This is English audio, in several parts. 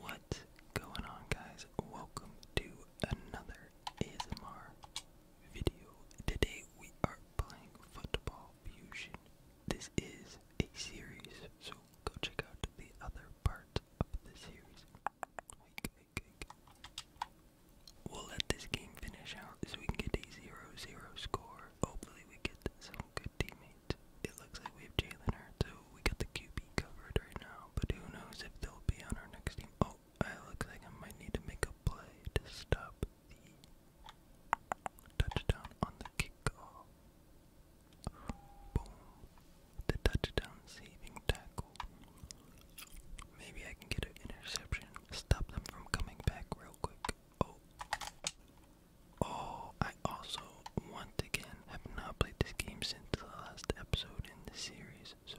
What's going on guys? Welcome to another ASMR video. Today we are playing Football Fusion. This is a series, so go check out the other part of the series. We'll let this game finish out so we can get a zero-zero score. Hopefully we get some good teammates it looks like we have Jalen so we got the QB covered right now, but who knows if they'll be on our next team. Oh, I look like I might need to make a play to stop the touchdown on the kickoff. Boom. The touchdown saving tackle. Maybe I can get an interception. Stop them from coming back real quick. Oh. Oh, I also, once again, have not played this game since the last episode in the series, so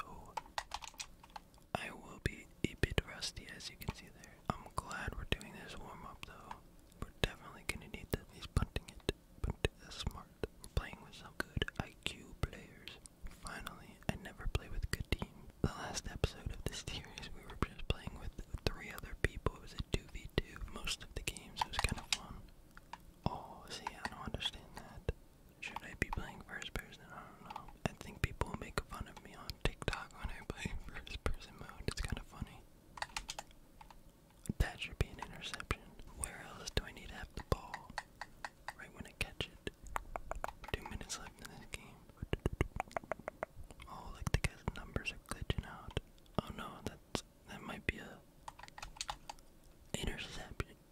I will be a bit rusty as you can see there. I'm glad we're doing this warm up though. We're definitely gonna need that. He's punting it, but smart. playing with some good IQ players. Finally, I never play with a good team. The last episode of this series, we were just playing with three other people. It was a 2v2 most of the games. It was kind of fun. Oh, see, I don't understand that. Should I be playing first person? I don't know. I think people make fun of me on TikTok when I play first person mode. It's kind of funny. That should be an interception. Where else do I need to have the ball? Right when I catch it. Two minutes left in this game. Oh, like the numbers are glitching out. Oh no, that's that might be a interception.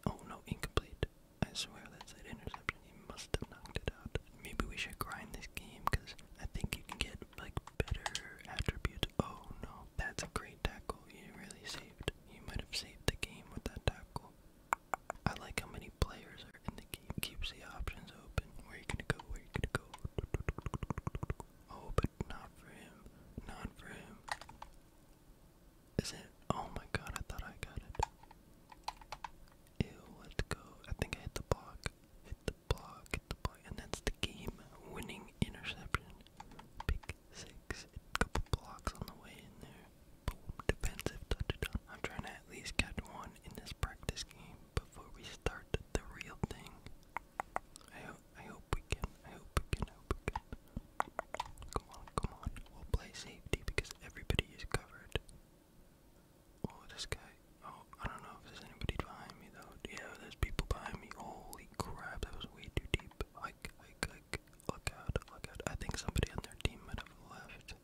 Oh no, incomplete. I swear that's an interception. He must have knocked it out. Maybe we should grind this game because I think you can get like better attributes. Oh no, that's a great tackle. You really saved. You might have saved the game with that tackle. I like how many players are in the game. Keeps the options open. Where you gonna go? Where you gonna go? Oh, but not for him. Not for him. Is it? Oh my god, I thought I got it. Ew, let go. I think I hit the block. Hit the block, hit the block. And that's the game winning interception. Pick six. A couple blocks on the way in there. Boom, defensive touchdown. I'm trying to at least catch one in this practice game before we start the real thing. I hope I hope we can. I hope we can. I hope we can. Come on, come on. We'll play safety because everybody is covered. Oh, this guy. Oh, I don't know if there's anybody behind me though. Yeah, there's people behind me. Holy crap, that was way too deep. Hike, hike, hike. Look out, look out. I think somebody on their team might have left.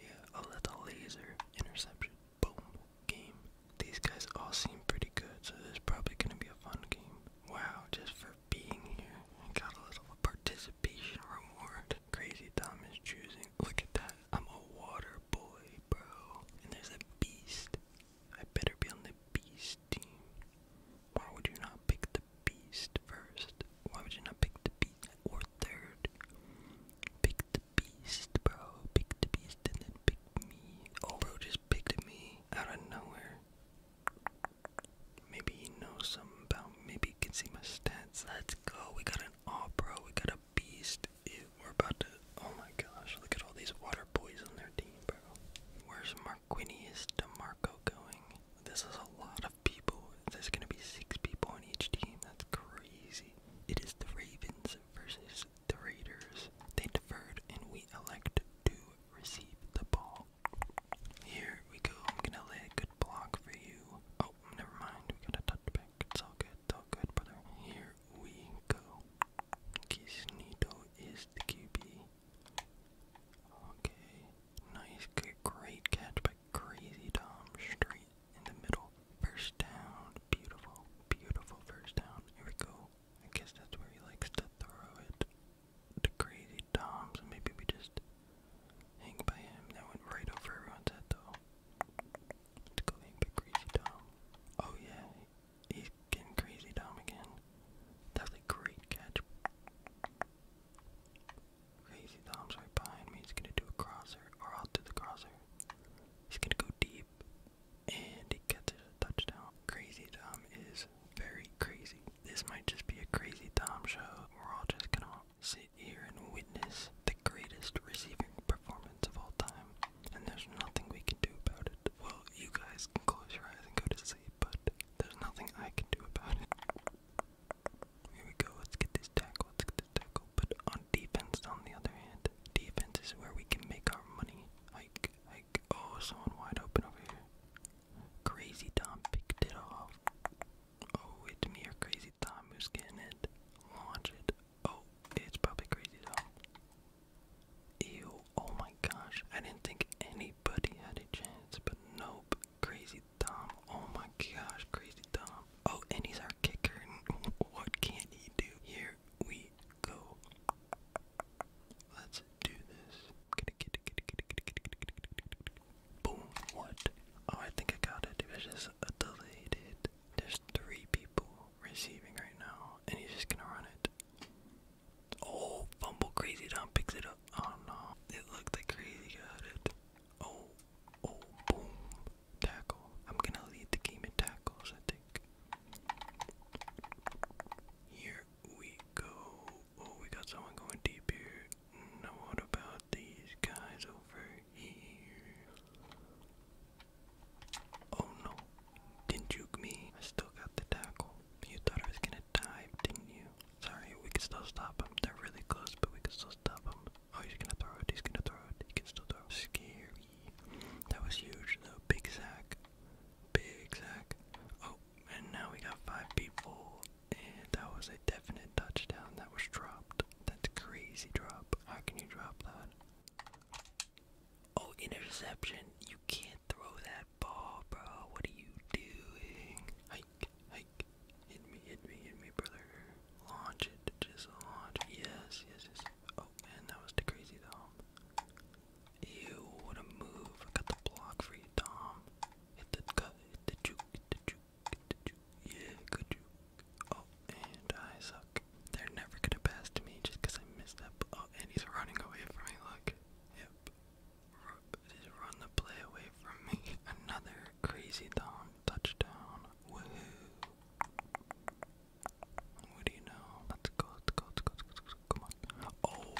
Yeah, oh, that's a laser interception boom game. These guys all seem pretty good, so there's probably gonna be a fun game. Wow, just for being here, I got a little participation reward. Crazy Tom is choosing. Look at that. I'm a water boy, bro. And there's a beast. I better be on the beast team. Why would you not pick the beast first? Why would you not pick the beast or third? Pick the beast, bro. Pick the beast and then pick me. Oh, bro, just picked me out of nowhere. Maybe he knows something about Maybe he can see my stats. Let's go. We got an aw, bro. We got a beast. we're about to. Oh my gosh. Look at all these water boys on their team, bro. Where's Marquinius DeMarco going? This is a lot of people. There's gonna be six people on each team. That's crazy. It is the Ravens versus the Raiders, they deferred and we elect to receive the ball. Here we go. I'm gonna lay a good block for you. Oh, never mind. We got a touchback. It's all good. all good, brother. Here we go. Kisnito is the QB. Okay. Nice. Good, great catch by Crazy Tom. Straight in the middle. First down. Beautiful, beautiful first down. Here we go. I guess that's where he likes to throw it. The crazy Toms. Maybe we just hang by him. That went right over everyone's head though. Let's go hang by Crazy Tom. Oh yeah, he's getting Crazy Tom again. That's great catch. Crazy Tom's right behind me. He's gonna do a crosser, or I'll do the crosser. He's gonna go deep and he catches a touchdown. Crazy Tom is very crazy. This might just be a Crazy Tom show. We're all just gonna sit here and witness the greatest receiving performance of all time, and there's nothing we can do about it. Well, you guys can close your eyes and go to sleep, but there's nothing I can do about it. Here we go. Let's get this tackle. Let's get this tackle. But defense, on the other hand, defense is where we can make our money. Like, like, oh, someone wide open over here. Crazy Tom picked it off. Oh, it's me or Crazy Tom who's getting it. Launch it. Oh, it's probably Crazy Tom. Ew, oh my gosh. I didn't think anybody had a chance, but nope. Crazy Tom. Oh my gosh, Crazy Tom. Oh, and he's our kicker. What can't he do? Here we go. Let's do this. Boom. What? Oh, I think I got it. It was just a deleted. There's three people receiving right now, and he's just gonna run it. Oh, fumble crazy Tom picks it up. Oh no. It looked like crazy got Oh, oh, boom tackle. I'm gonna lead the game in tackles, I think. Here we go. Oh, we got someone going deep here. Now, what about these guys over here? Oh no, didn't juke me. I still got the tackle. You thought I was gonna dive, didn't you? Sorry, we can still stop them. They're really close, but we can still stop them. Oh, he's gonna throw it. He's gonna throw it. He can still throw. Scary. That was huge, though. Big sack. Big sack. Oh, and now we got five people. And that was a definite touchdown. That was dropped. That's crazy drop. How can you drop that? Oh, interception. You can't throw that ball, bro. What are you doing? Hit me, hit me, hit me, brother. Launch it, just launch Yes, yes, yes. Oh man, that was too crazy, Dom. Ew, what a move. I got the block for you, Dom. Hit the cut, hit the juke, hit the juke, hit the juke. Yeah, good juke. Oh, and I suck. They're never gonna pass to me just I missed that. Oh, and he's running away from me, look. Yep. run the play away from me. Another crazy thong. Touchdown. What do you know? Let's go, let's go, let's go, come on. Oh!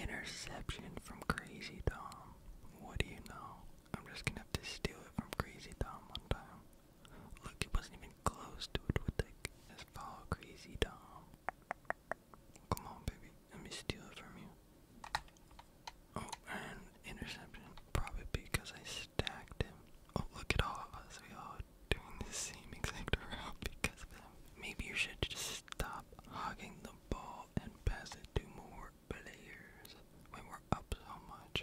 Interception from Crazy Tom. What do you know? I'm just gonna have to steal it from Crazy Tom one time. Look, it wasn't even close to it with like just follow Crazy Tom. Come on, baby. Let me steal it from you. Oh, and interception. Probably because I stacked him. Oh, look at all of us. We all doing the same exact route because of him. Maybe you should just stop hugging the ball and pass it to more players when we're up so much.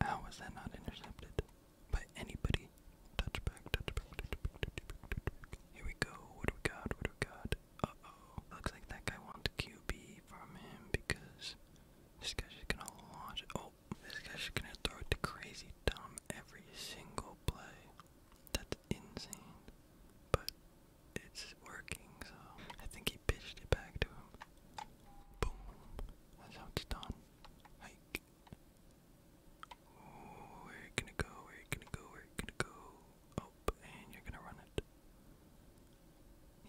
How was that not intercepted by anybody? touchback, touchback, touchback. Here we go. What do we got? What do we got? Uh-oh. Looks like that guy wants QB from him because this guy's just gonna launch Oh, this guy's just gonna throw it to Crazy Tom every single play. That's insane. But it's working, so I think he pitched it back to him. Boom. That's how it's done. Hike. where you gonna go? Where you gonna go? Where you gonna go? and you're gonna run it.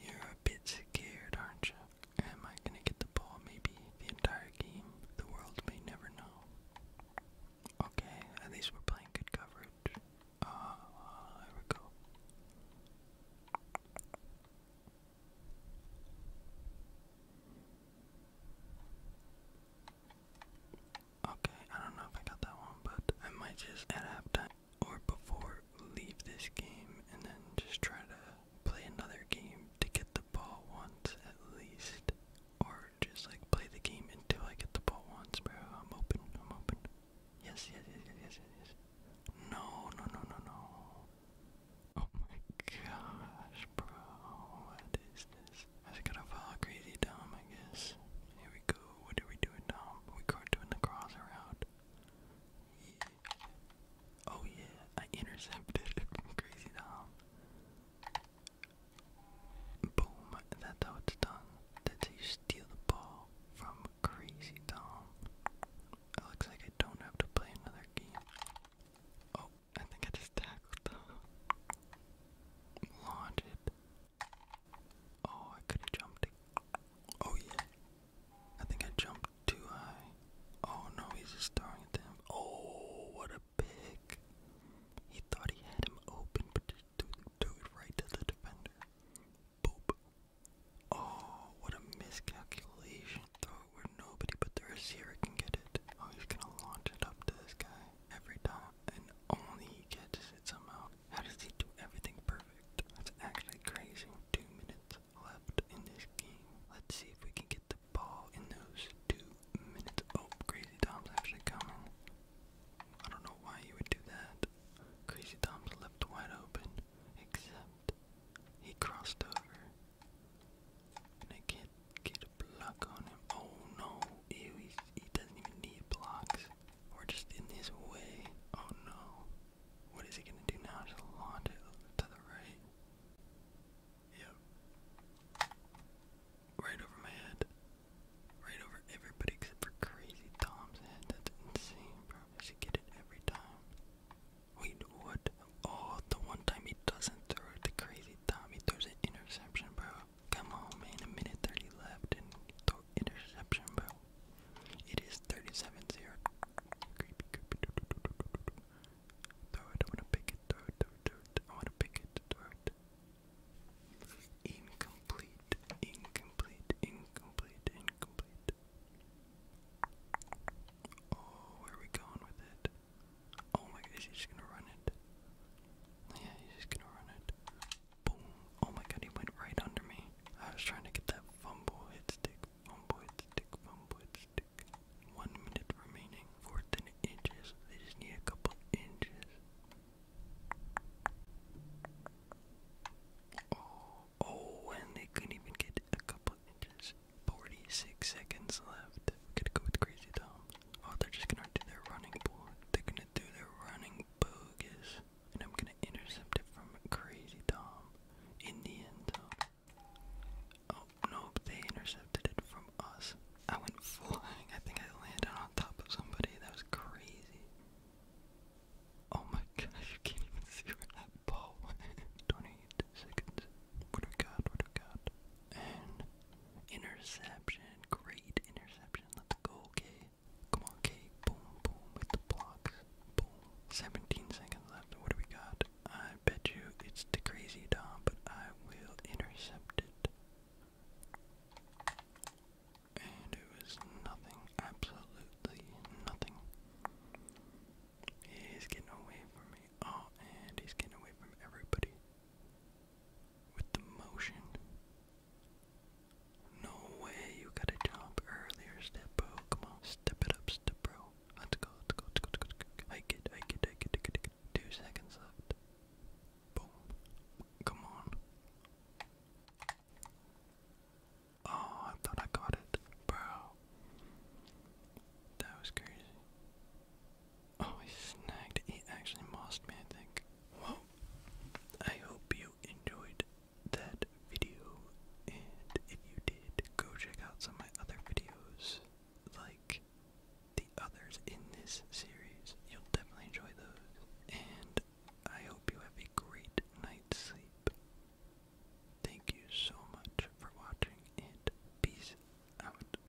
You're a bit scared, aren't you? Am I gonna get the ball maybe the entire game? The world may never know. Okay, at least we're playing good coverage. Uh, there we go. Okay, I don't know if I got that one, but I might just at halftime or before leave this game and then just try to play another game to get the ball once at least. Or just like play the game until I get the ball once, bro. I'm open, I'm open. Yes, yes, yes, yes, yes, yes, yes. No, no, no, no, no. Oh my gosh, bro. What is this? I just gotta follow Crazy Dom, I guess. Here we go. What are we doing now? We go doing the cross around. Oh yeah, I intercepted. Crazy Dom. Boom, that's how it's done. That's you steal the ball from Crazy Dom. It looks like I don't have to play another game. Oh, I think I just tackled Dom. Launch it. Oh, I could have jumped. Oh, yeah. I think I jumped too high. Oh, no, he's just staring at to him. Oh, what a pick. He thought he had him open, but just threw, it right to the defender. Boop. Oh, what a miscalculation. Throw it where nobody but the receiver can get it. Oh, he's gonna launch it up to this guy every time and only catches it somehow. How does he do everything perfect? That's actually crazy. Two minutes left in this game. Let's see if we can get the ball in those two minutes. Oh, Crazy Tom's actually coming. I don't know why you would do that. Crazy Tom's left wide open, except he crossed over. And I can't get a block on him. Oh no, ew, he's he doesn't even need blocks. We're just in his way. Oh no. What is he gonna do now? Just launch it to the right. Yep. Right over my head. Right over everybody except for crazy Tom's head. That's insane, bro. I should get it every time. Wait, what? Oh, the one time he doesn't throw it to crazy Tom, he throws an interception, bro. Come on, man. A minute 30 left interception, bro. It is 37 0. Creepy, creepy. Throw it. I want to pick it. I want to pick it. Incomplete. Incomplete. Incomplete. Incomplete. Oh, where are we going with it? Oh my gosh, she's just gonna run it. Yeah, he's just gonna run it. Boom. Oh my god, he went right under me. I was trying to get that fumble hit stick, fumble hit stick, fumble hit stick. One minute remaining. 14 inches. They just need a couple inches. Oh, oh, and they couldn't even get a couple inches. 46 seconds left. We gotta go with Crazy Tom. Oh, they're just gonna do their running bull. They're gonna do their running bogus. And I'm gonna intercept it from Crazy Tom in the end Oh, nope, they intercepted it from us. I went flying. I think I landed on top of somebody. That was crazy. Oh my gosh, you can't even see where that ball went. 28 seconds. What do we What do we And Interception. Great interception. Let's go, K. Come on, K. Boom, boom with the blocks. Boom. 17 seconds left. What do we got? I bet you it's the crazy Dom, but I will intercept it. And it was nothing. Absolutely nothing. He's getting away from me. Oh, and he's getting away from everybody with the motion. No way, you gotta jump earlier, step Come on, step it up, step bro. Let's go, let's go, let's go, let's go. Hike it, Two seconds left. Boom. Come on. Oh, I thought I got it. Bro. That was crazy. Oh, he snagged. He actually mossed me, I think. Well, I hope you enjoyed that video. And if you did, go check out some of my other videos, like the others in this series. You'll definitely enjoy those. And I hope you have a great night's sleep. Thank you so much for watching, and peace out.